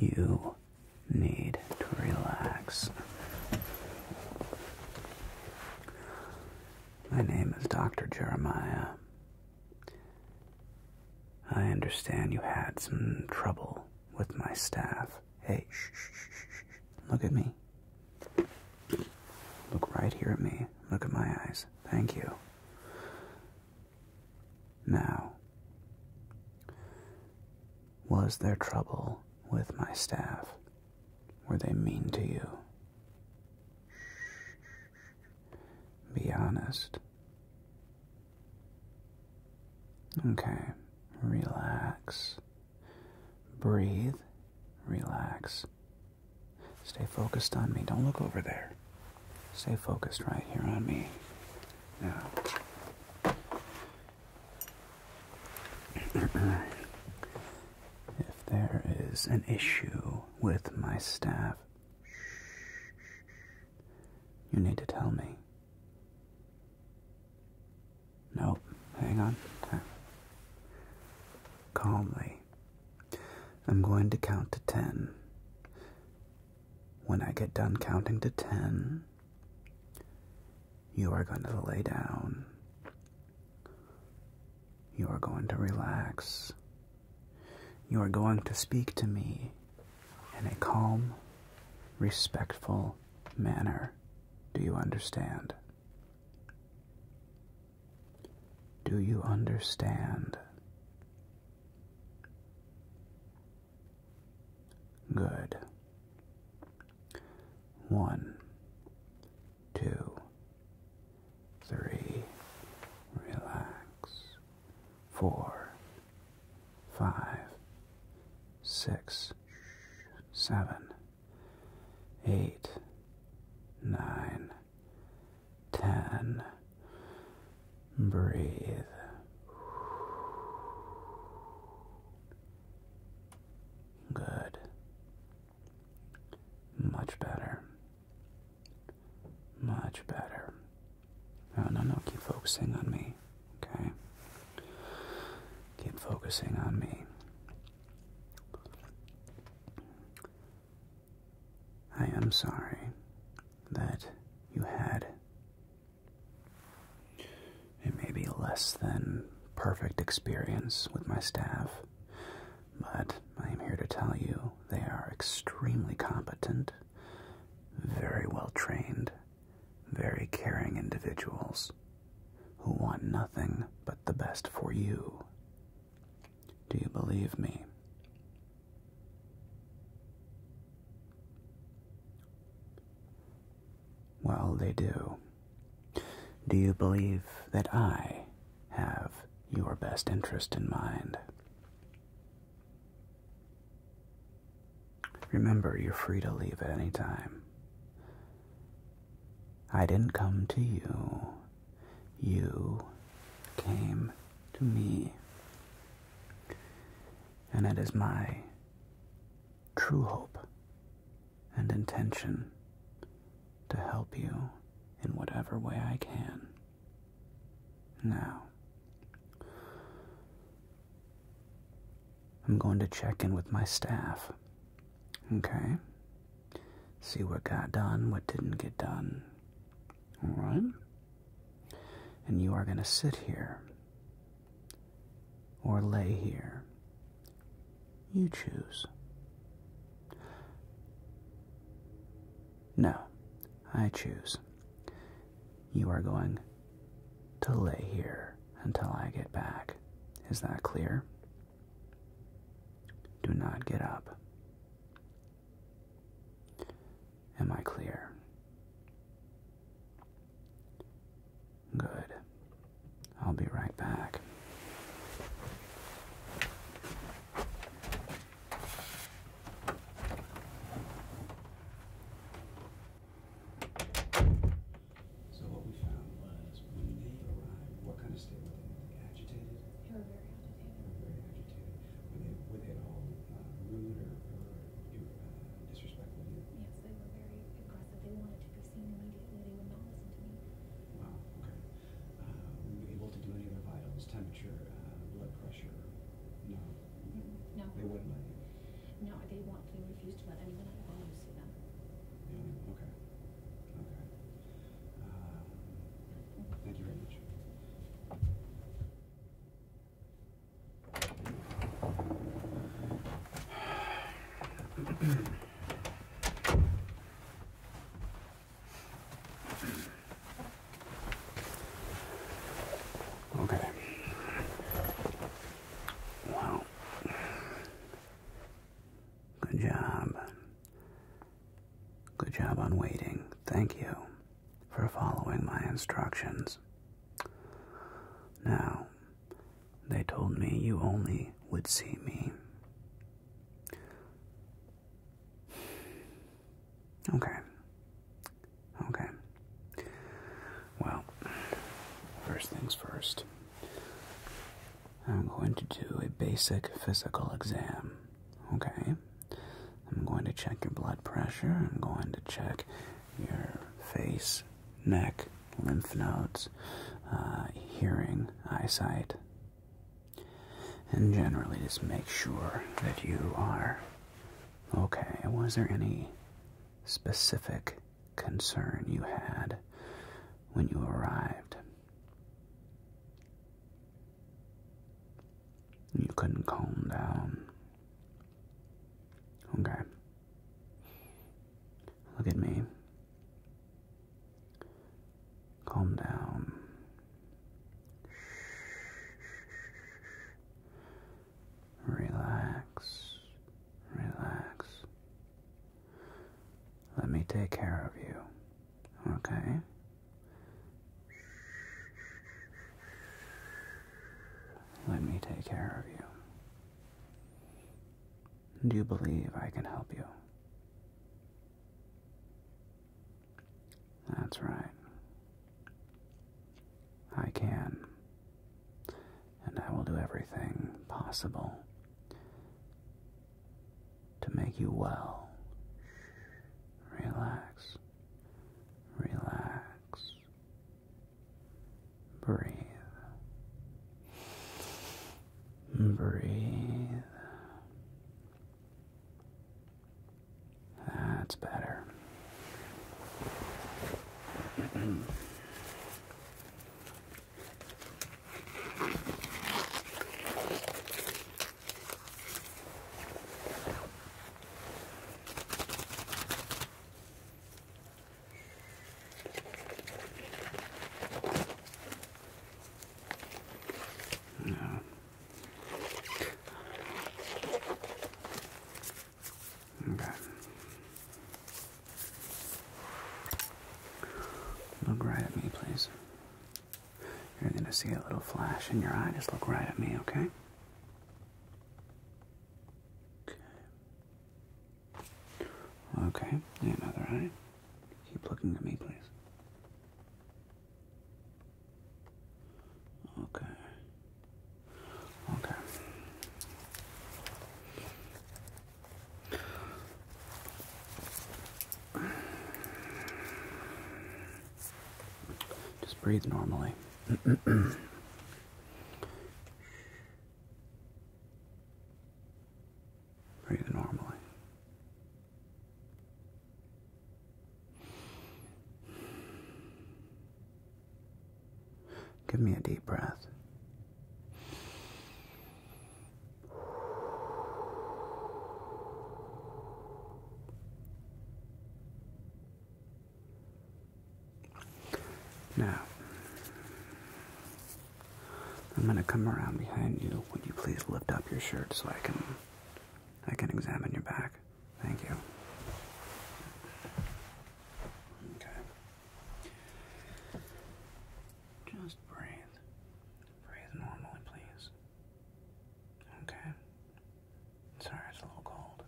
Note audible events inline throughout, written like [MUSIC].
You need to relax. My name is Dr. Jeremiah. I understand you had some trouble with my staff. Hey, look at me. Look right here at me. Look at my eyes. Thank you. Now, was there trouble with my staff? Were they mean to you? Be honest. Okay, relax. Breathe, relax. Stay focused on me. Don't look over there. Stay focused right here on me. Now. if there is an issue with my staff, you need to tell me. Nope, hang on. Calmly. I'm going to count to ten. When I get done counting to ten, you are going to lay down. You are going to relax. You are going to speak to me in a calm, respectful manner. Do you understand? Do you understand? Good. One, two, three, relax four, five, six, seven, eight, nine, ten. Breathe. Good. Much better. Much better. No, no, no. Keep focusing on me. Okay? Keep focusing on me. I am sorry that you had a maybe less than perfect experience with my staff, but I am here to tell you they are extremely competent very well trained, very caring individuals who want nothing but the best for you. Do you believe me? Well, they do. Do you believe that I have your best interest in mind? Remember, you're free to leave at any time. I didn't come to you. You came to me. And it is my true hope and intention to help you in whatever way I can. Now, I'm going to check in with my staff. Okay? See what got done, what didn't get done. Alright? And you are going to sit here or lay here. You choose. No, I choose. You are going to lay here until I get back. Is that clear? Do not get up. Am I clear? Good. I'll be right back. So what we found was when they arrived, what kind of state were they in? Agitated? They were very agitated. They were very agitated. Were they, all uh, rude or, uh, disrespectful Yes, they were very aggressive. They wanted to be seen immediately. They would not listen to me. Wow, okay. Uh, were you able to do any of their vitals? Temperature, blood pressure? No. No. They wouldn't let you? No, they want, to refuse to let anyone at see them. okay, okay. Um, thank you very much. [CLEARS THROAT] Okay. Wow. Good job. Good job on waiting. Thank you for following my instructions. Now, they told me you only would see me. Okay. Okay. Well, first things first. I'm going to do a basic physical exam. Okay? I'm going to check your blood pressure. I'm going to check your face, neck, lymph nodes, uh, hearing, eyesight. And generally, just make sure that you are Okay, was there any specific concern you had when you arrived? You couldn't calm down. Okay. Look at me. Calm down. Relax, relax. Let me take care of you, okay? Let me take care of you. Do you believe I can help you? That's right. I can. And I will do everything possible to make you well. Relax. Relax. Breathe. Breathe. That's better. no. [CLEARS THROAT] Look right at me, please. You're going to see a little flash in your eye. Just look right at me, okay? Okay. Okay. Another eye. Keep looking at me, please. Okay. Okay. Just breathe normally. [CLEARS THROAT] breathe normally. Give me a deep breath. Now, I'm going to come around behind you. Would you please lift up your shirt so I can I can examine your back. Thank you. Okay. Just breathe. Breathe normally, please. Okay. Sorry, it's a little cold.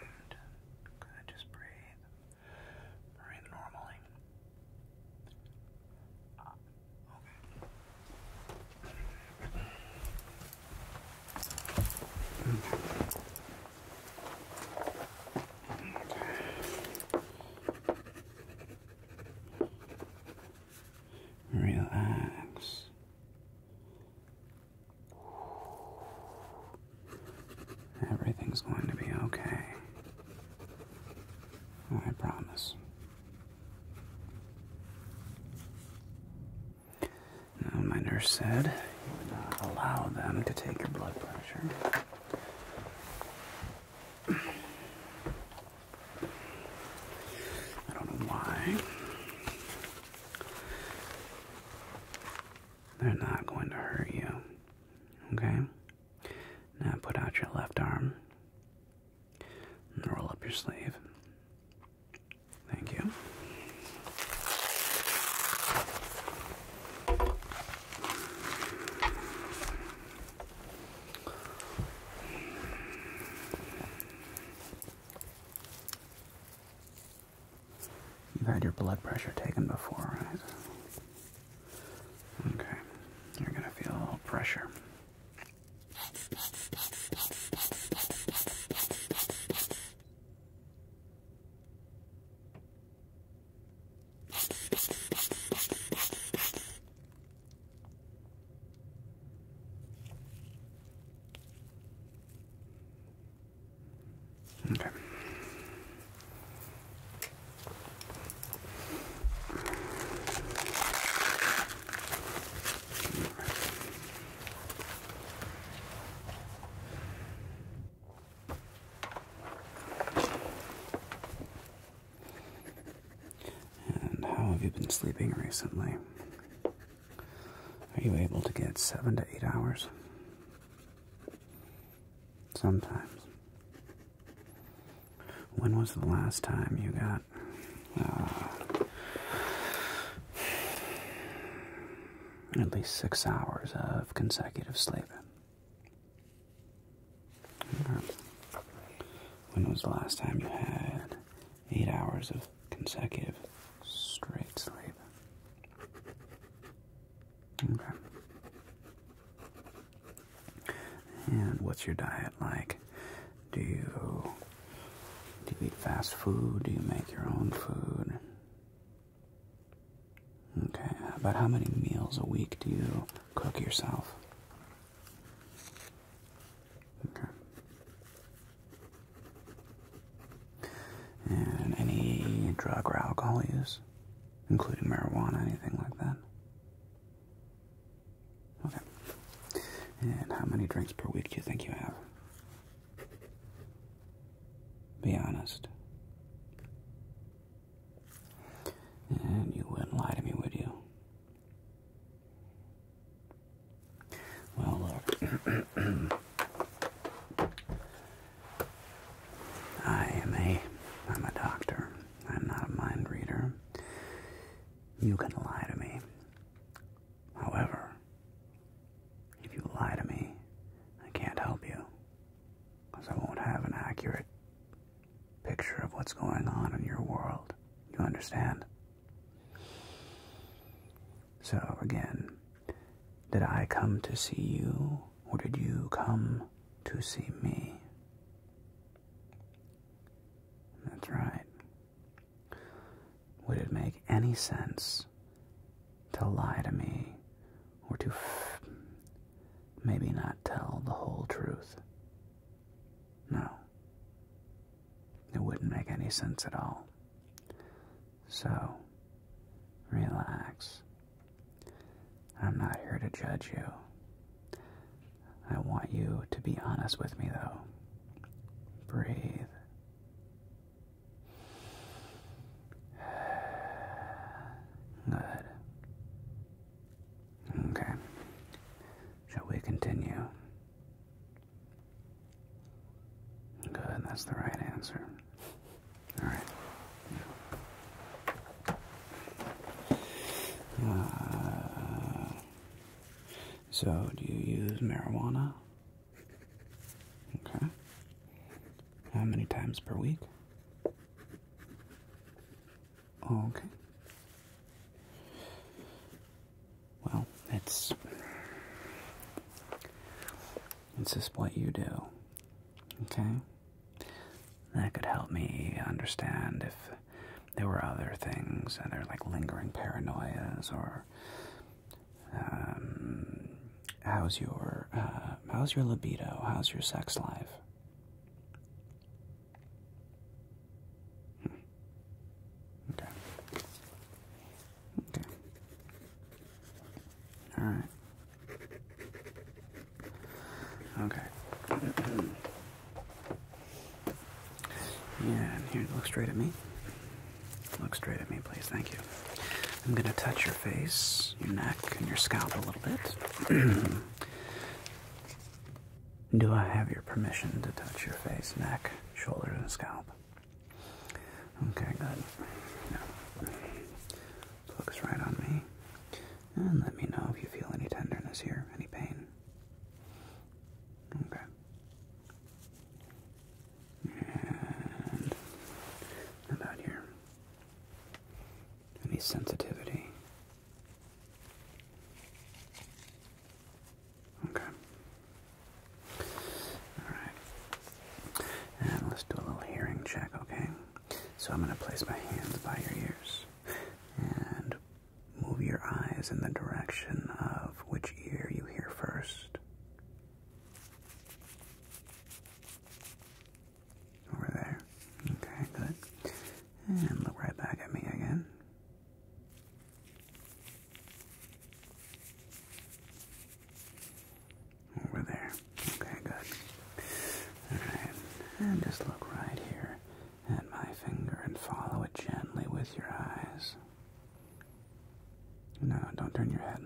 And just breathe. Breathe normally. Relax. Everything's going to be okay. I promise my nurse said you would not allow them to take your blood pressure. I don't know why. They're not going to hurt you, okay? Now put out your left arm and roll up your sleeve. Thank you. You've had your blood pressure taken before, right? Okay, you're gonna feel a little pressure. Okay. And how have you been sleeping recently? Are you able to get seven to eight hours? Sometimes. When was the last time you got uh, at least six hours of consecutive sleep? When was the last time you had eight hours of consecutive straight sleep? Okay. And what's your diet like? Do you do you eat fast food? Do you make your own food? Okay. About how many meals a week do you cook yourself? Okay. And any drug or alcohol use, including marijuana, anything like that? Okay. And how many drinks per week do you think you have? Be honest. And you wouldn't lie to me, would you? Well, look. [CLEARS THROAT] I am a I'm a doctor. I'm not a mind reader. You can lie to me. However, if you lie to me, I can't help you because I won't have an accurate picture of what's going on in your world. You understand? So, again, did I come to see you or did you come to see me. That's right. Would it make any sense to lie to me or to maybe not tell the whole truth? No. It wouldn't make any sense at all. So, relax. I'm not here to judge you. I want you to be honest with me, though. Breathe. Good. Okay. Shall we continue? Good, that's the right answer. All right. so, do you use marijuana? Okay. How many times per week? Okay. Well, it's it's just what you do. Okay? That could help me understand if there were other things, other like lingering paranoias, or um, how's your uh, how's your libido, how's your sex life. Hmm. Okay. Okay. All right. Okay. yeah, here, look straight at me. Look straight at me, please. Thank you. I'm going to touch your face, your neck, and your scalp a little bit. [CLEARS THROAT] Do I have your permission to touch your face, neck, shoulders, and scalp? Okay, good. focus right on me. And uh, let me know if you feel any tenderness here, any pain. Okay. And about here. Any sensitivity? Okay. Alright. And let's do a little hearing check, okay? So I'm going to place my hands by your ears and move your eyes in the direction of which ear you hear first. Over there. Okay, good. And look right back at me again. Over there. Okay, good. Alright, and just look right here at my finger and follow it gently with your eyes. No, don't turn your head.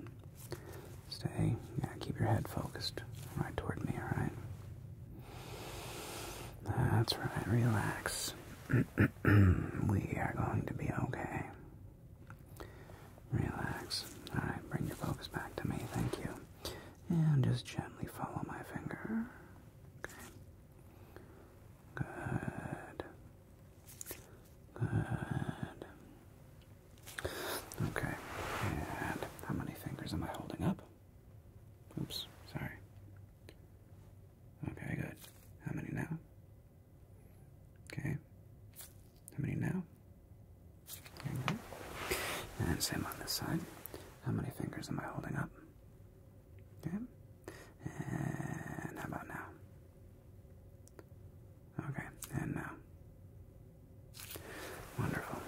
Stay, yeah, keep your head focused right toward me, alright? That's right, relax. [CLEARS THROAT] we are going to be okay. Relax. Alright, bring your focus back to me, thank you. And just gently follow my finger. Okay. Good. Good. Okay. And how many fingers am I holding up? Oops, sorry. Okay, good. How many now? Okay. How many now? And same on this side. How many fingers am I holding up? Okay. And how about now? Okay, and now. Wonderful.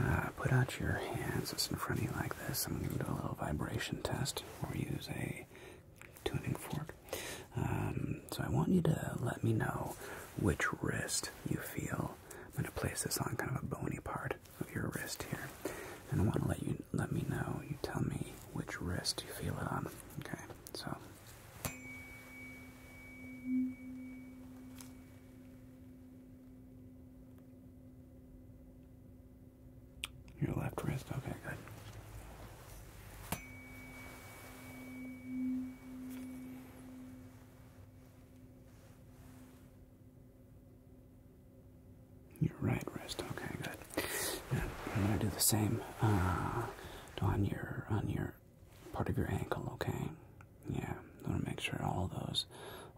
Uh, put out your hands just in front of you like this. I'm going to do a little vibration test or use a tuning fork. Um, so I want you to let me know which wrist you feel. I'm going to place this on kind of a bony part of your wrist here, and I want to let you let me know. You tell me which wrist you feel it on. Okay, so. Your left wrist. Okay, good. Your right wrist. Okay, good. Now, I'm gonna do the same uh, on your on your part of your ankle. Okay. Yeah. I want to make sure all those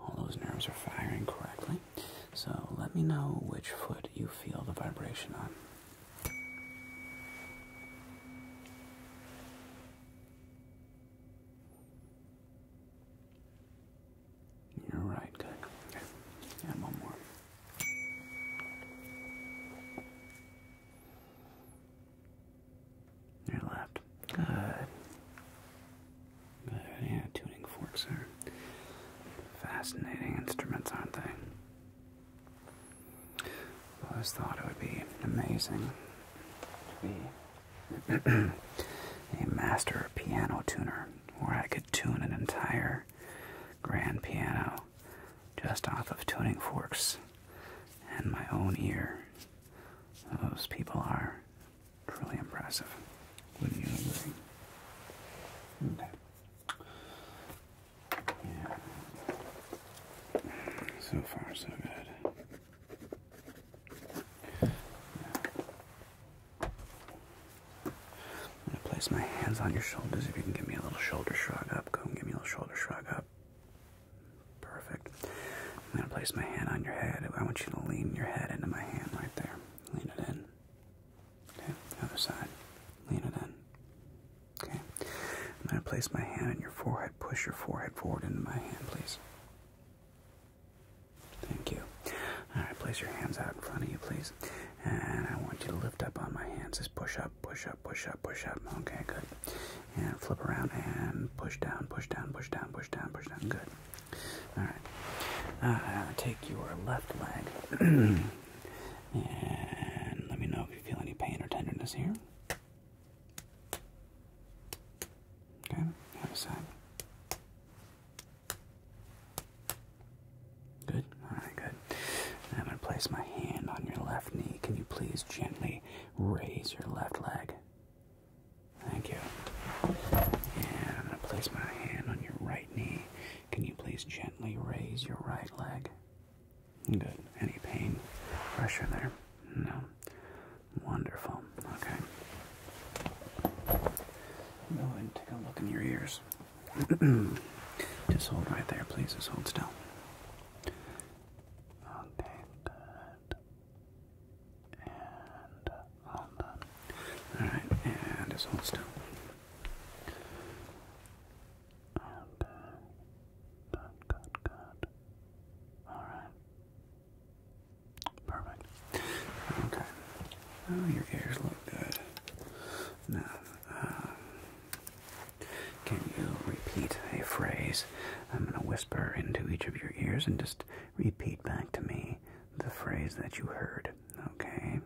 all those nerves are firing correctly so let me know which foot you feel the vibration on. you right, good. Okay, and one more. Your left. Good yeah, tuning forks are fascinating instruments, aren't they? I always thought it would be amazing to be [CLEARS THROAT] a master piano tuner, where I could tune an entire grand piano just off of tuning forks and my own ear. Those people are truly impressive. So far, so good. I'm gonna place my hands on your shoulders. If you can give me a little shoulder shrug up, go and give me a little shoulder shrug up. Perfect. I'm gonna place my hand on your head. I want you to lean your head into my hand right there. Lean it in. Okay, other side. Lean it in. Okay. I'm going to place my hand on your forehead. Push your forehead forward into my hand, please. Thank you. Alright, place your hands out in front of you, please. And I want you to lift up on my hands. Just push up, push up, push up, push up. Okay, good. And flip around and push down, push down, push down, push down, push down. Good. Alright. Uh, take your left leg. [CLEARS THROAT] and let me know if you feel any pain or tenderness here. Okay, other side. Good, alright, good. I'm going to place my hand on your left knee. Can you please gently raise your left leg? Thank you. And I'm going to place my hand on your right can you please gently raise your right leg? Good. Any pain, pressure there? No. Wonderful. Okay. Go and take a look in your ears. [CLEARS THROAT] Just hold right there, please. Just hold still all done. All right, and just hold still. And, uh, good, good, good. All right. Perfect. Okay. Oh, your ears look good. Now, um, can you repeat a phrase? I'm going to whisper into each of your ears and just repeat back to me the phrase that you heard. Okay.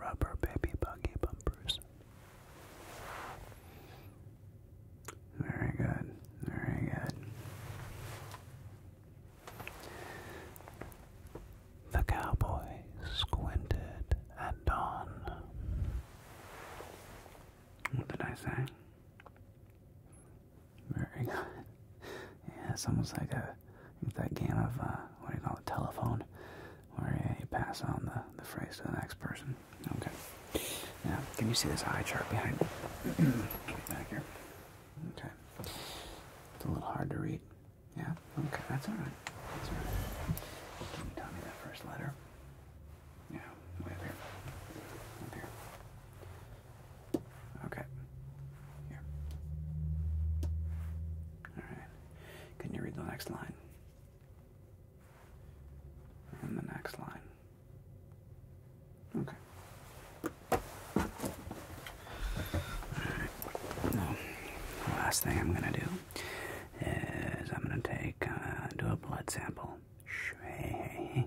Rubber baby buggy bumpers. Very good. Very good. The cowboy squinted at dawn. What did I say? Very good. Yeah, it's almost like a that game of uh, what do you call it, telephone, where you pass on the, the phrase to the next person. Okay. Now, can you see this eye chart behind me? [CLEARS THROAT] back here. Okay. It's a little hard to read. Yeah. Okay, that's all right. That's all right. Can you tell me that first letter? Yeah, way here. Up here. Okay. Here. All right. Can you read the next line? And the next line. Okay. Alright. Now, the last thing I'm gonna do is I'm gonna take, uh, do a blood sample. [LAUGHS]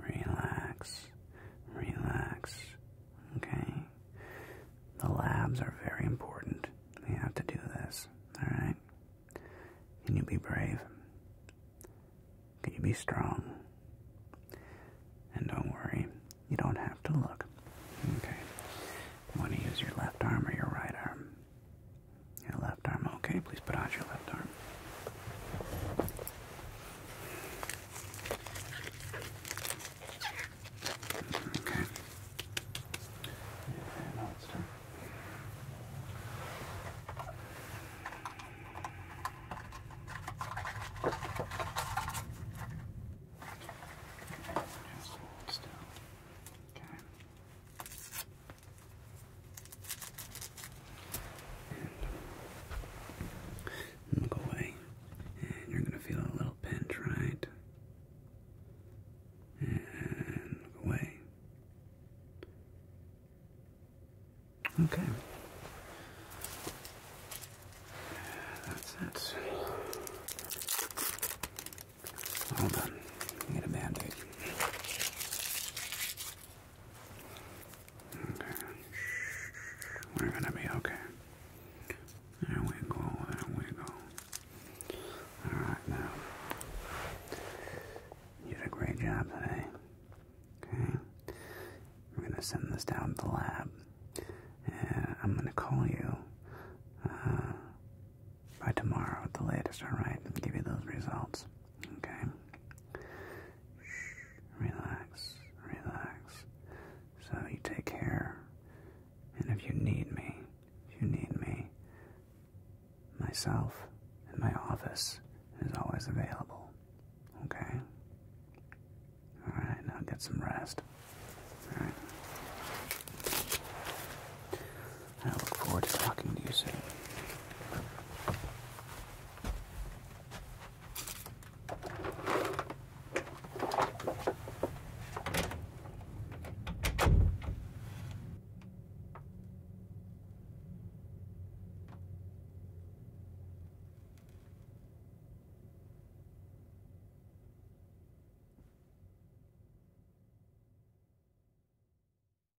Relax. Relax. Okay? The labs are very important. We have to do this. Alright? Can you be brave? Can you be strong? And don't worry, you don't have to look. Okay? You want to use your left arm or your right arm? Your left arm, okay. Please put out your left arm. Okay. Just hold still. Okay look away. And you're gonna feel a little pinch, right? And away. Okay. That's it. All done. Get a band Okay. We're gonna be okay. There we go, there we go. Alright now. You did a great job today. Okay. We're gonna send this down to the lab. And I'm gonna call you uh, by tomorrow at the latest, alright? And give you those results. Okay? Shh, relax, relax. So you take care. And if you need me, you need me, myself and my office is always available. Okay? Alright, now get some rest. Alright. I look forward to talking to you soon.